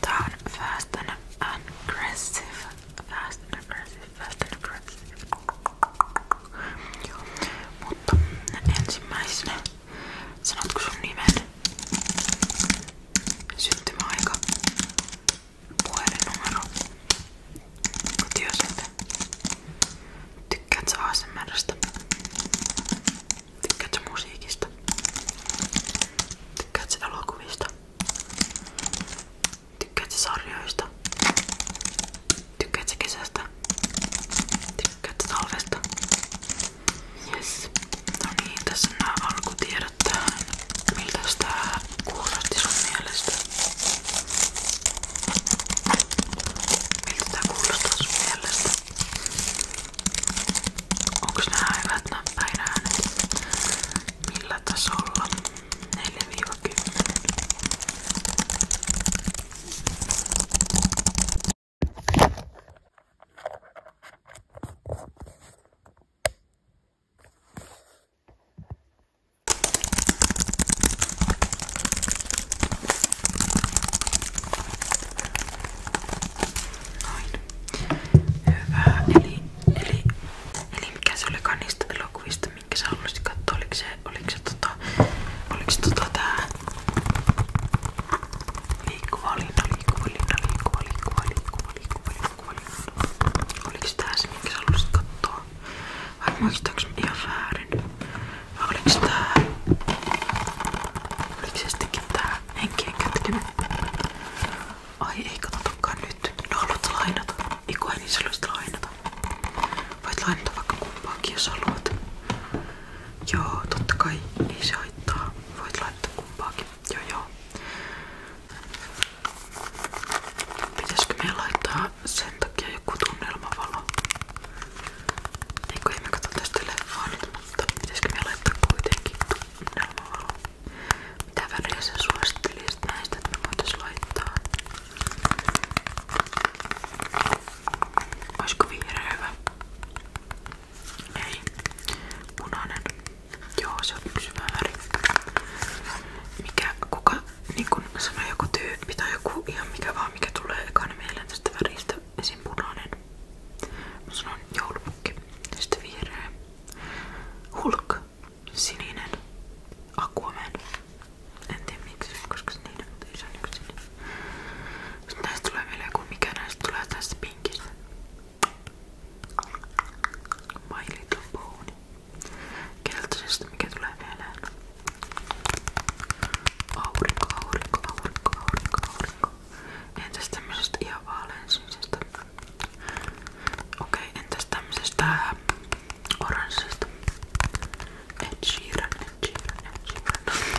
Tää on fast and aggressive. Fast and aggressive, fast and aggressive. Joo. Mutta ensimmäisenä sanotko sun nimen? Syntymäaika. Puhelinnumero. Kotiosate. Tykkäätkö ASMRstä? Tykkäätkö musiikista? Tykkäätkö elokuvista? Tykkäätkö sarjoista? Tykkäätkö kesästä? Tykkäätkö talvesta? Yes. No niin, tässä on nämä alkutiedot tähän. Miltä tää kuulosti sun mielestä? Miltä tää kuulostaa sun mielestä? Onks nää hyvät näppäiräänet? Millä tasolla? 4-10. Noin. Hyvä. Eli, eli, eli mikä se olikaan niistä elokuvista, minkä sä haluaisit katsoa? Oliko se, oliko se tota, oliko se tota tää liikkuva linna, liikkuva linna, liikkuva, liikkuva, liikkuva, liikkuva, liikkuva, liikkuva, liikkuva. Oliko se tää se, minkä sä haluaisit katsoa? Varmaankin taks ihan väärin. Vai oliks tää... Oliks se sittenkin tää henkien kätkinen? Ai ei katsotakaan nyt. No haluat lainata? Iku ei niin sä lainata. Voit lainata vaikka kumpaakin jos haluat. Joo, totta kai ei se haittaa. Voit laittaa kumpaakin. Joo joo. Pitäisikö meidän laittaa sen takia joku tunnelmavalo. Eikö ei me katso tästä leffaa nyt, mutta pitäisikö me laittaa kuitenkin tunnelmavalo? Mitä väriä sä suosittelisit näistä, että me voitais laittaa? Olisiko vihreä hyvä? Ei. Punainen. Joo, se on yksi väri. Mikä, kuka niin kun sanoi joku tyyppi tai joku ihan mikä vaan mikä tulee ekana mieleen tästä väristä, esim. punainen. Mä sanon joulupukki, sitten vihreä. Hulk, sininen, Aquaman. En tiedä miksi, koska se niiden, mutta ei se on yksi sininen. Sitten näistä tulee vielä joku mikä näistä tulee tästä pinkistä. My Little Pony keltaisesta mikä tulee mieleen. Aurinko, aurinko, aurinko, aurinko, aurinko. Entäs tämmöisestä ihan vaalean sinisestä? Okei, okay, entäs tämmöisestä äh, oranssista? Ed Sheeran, Ed Sheeran, Ed Sheeran.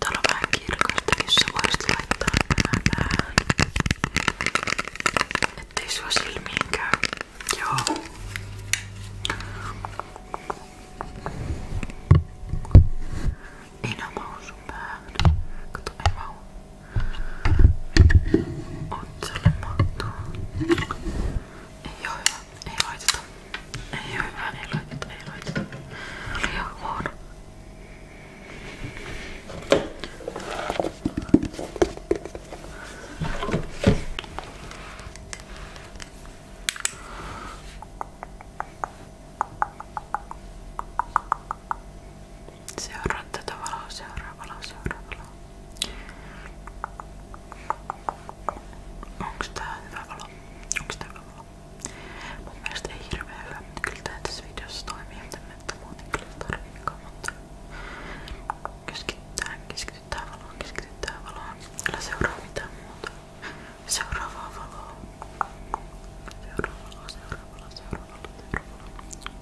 Täällä on vähän kirkastakin, sä voisit laittaa tämän päähän. Ettei sua silmiin käy. Joo. Ei nää mahu sun päähän. Kato, ei mahu. Otsalle mahtuu. Ei oo hyvä, ei laiteta. Ei oo hyvä, ei laiteta, ei laiteta. Liian huono. Seuraa tätä valoa, seuraa valoa, seuraa valoa. Onks tää hyvä valo? Onks tää hyvä valo? Mun mielestä ei hirveä hyvä, mutta kyllä tää tässä videossa toimii, mutta muuten kyllä tarviikaan, niinku, mutta keskitytään, keskitytään valoon, keskitytään valoon. Älä seuraa mitään muuta. Seuraavaa valoa. Seuraavaa valoa, seuraavaa valoa, seuraavaa valoa, seuraavaa valoa.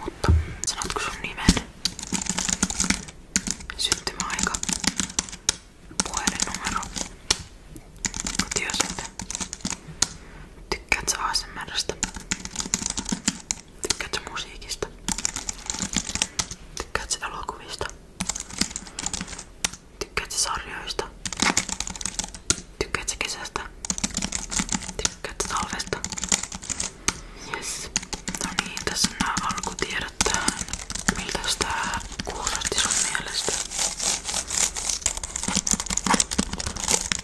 Mutta sanotko sun nimen? Syntymäaika. Puhelinnumero. Kotiosate. Tykkäätkö ASMRstä? Tykkäätkö musiikista? Tykkäätkö elokuvista? Tykkäätkö sarjoista? Tykkäätkö kesästä? Tykkäätkö talvesta? Yes. No niin, tässä on nämä alkutiedot tähän. Miltäs tää kuulosti sun mielestä?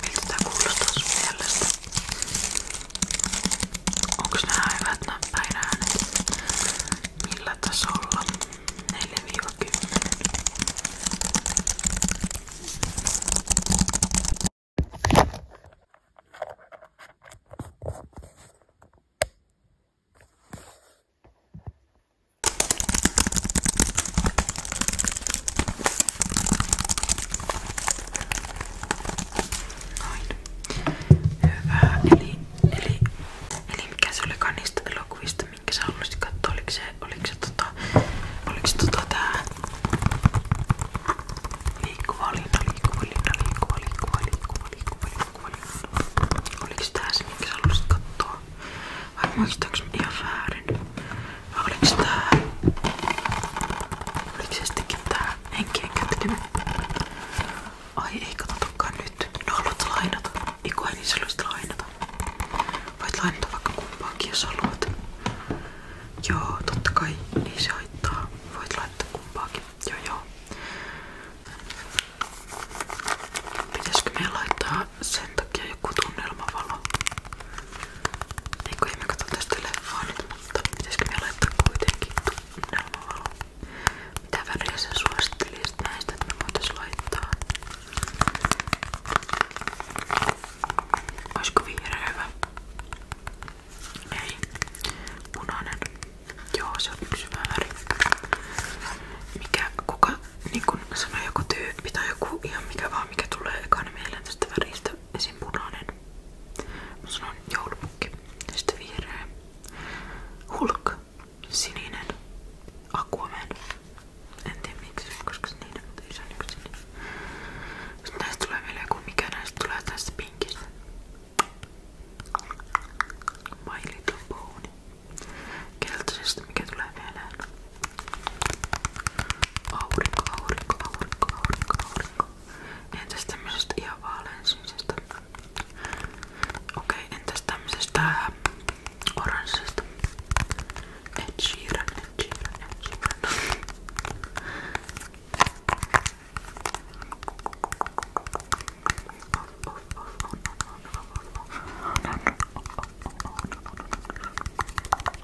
Miltä tää kuulostaa sun mielestä? Onks nää hyvät nämä päinäänet? Millä tasolla? 4-10. Noin. Hyvä. Eli Eli, eli, eli mikä se olikaan niistä elokuvista, minkä sä haluaisit katsoa? Oliko se, oliko se tota, oliko se tota tää liikkuva linna, liikkuva linna, liikkuva, liikkuva, liikkuva, liikkuva, liikkuva linna? Oliko se tää se, minkä sä haluaisit katsoa? Vai muistaaks mä ihan väärin? Vai oliks tää? Oliko se sittenkin tää? henkien käyttöä. Niin- Ai ei katsotakaan nyt. No haluat lainata? Eiku ei niin sä lainata. Voit lainata vaikka kumpaakin jos haluat. Joo, totta kai ei niin se haittaa. Voit laittaa kumpaakin. Joo joo. Pitäisikö meidän laittaa sen takia joku tunnelmavalo? Eiku ei me katso tästä leffaa nyt, mutta pitäisikö meidän laittaa kuitenkin nollaa. Mitä väriä sä suosittelisit näistä, että me voitais laittaa? Olisiko vihreä hyvä? Ei. Punainen. Joo, se on yksi hyvä väri. Mikä, kuka, niin kun sanoi joku tyyppi tai joku ihan mikä vaan, mikä tulee ekana mieleen tästä väristä. Esim punainen. Mä sanon joulupukki. Sitten vihreä. Hulk. Sininen. Aquaman. En tiedä miksi, koska se niiden, mutta ei se on niin yksi sininen. Sitten näistä tulee vielä joku, mikä näistä tulee tästä pinkistä. My Little Pony. Keltaisesta mikä tulee mieleen? Aurinko, aurinko, aurinko, aurinko, aurinko, Niinku, entäs tämmöisestä ihan vaaleansinisesta? Okei, okay, entäs tämmöisestä oranssista? Ed Sheeran, Ed Sheeran, Ed Sheeran.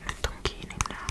Nyt on kiinni nää.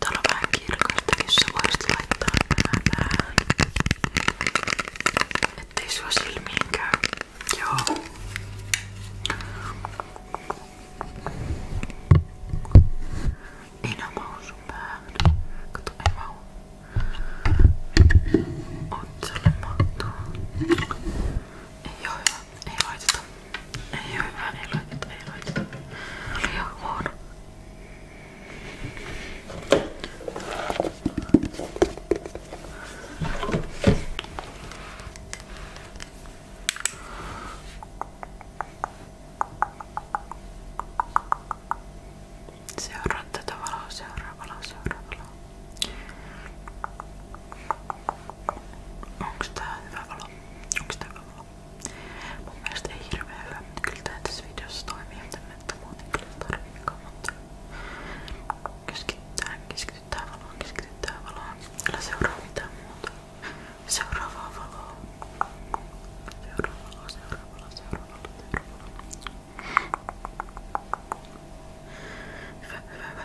Täällä on vähän kirkasta, jos sä voisit laittaa nää päähän. Ettei sua silmiin käy. Joo. Ei nää mahu sun päähän. Kato, ei mahu. Otsalle mahtuu. Ei oo hyvä. Ei laiteta ei oo hyvä, ei laiteta, ei laiteta. Oli ihan huono. Seuraa tätä valoa, seuraa valoa, seuraa valoa. Onks tää hyvä valo? Onks tää hyvä valo? Mun mielestä ei hirveän hyvä, mutta kyllä tää tässä videossa toimii, mutta muuten kyllä tarviikaan, niin mutta keskitytään, keskitytään valoon, keskitytään valoon. Älä seuraa mitään muuta. Seuraavaa valoa. Seuraava valo, seuraava valo, seuraava valo, seuraava valo. Hyvä, hyvä, hyvä.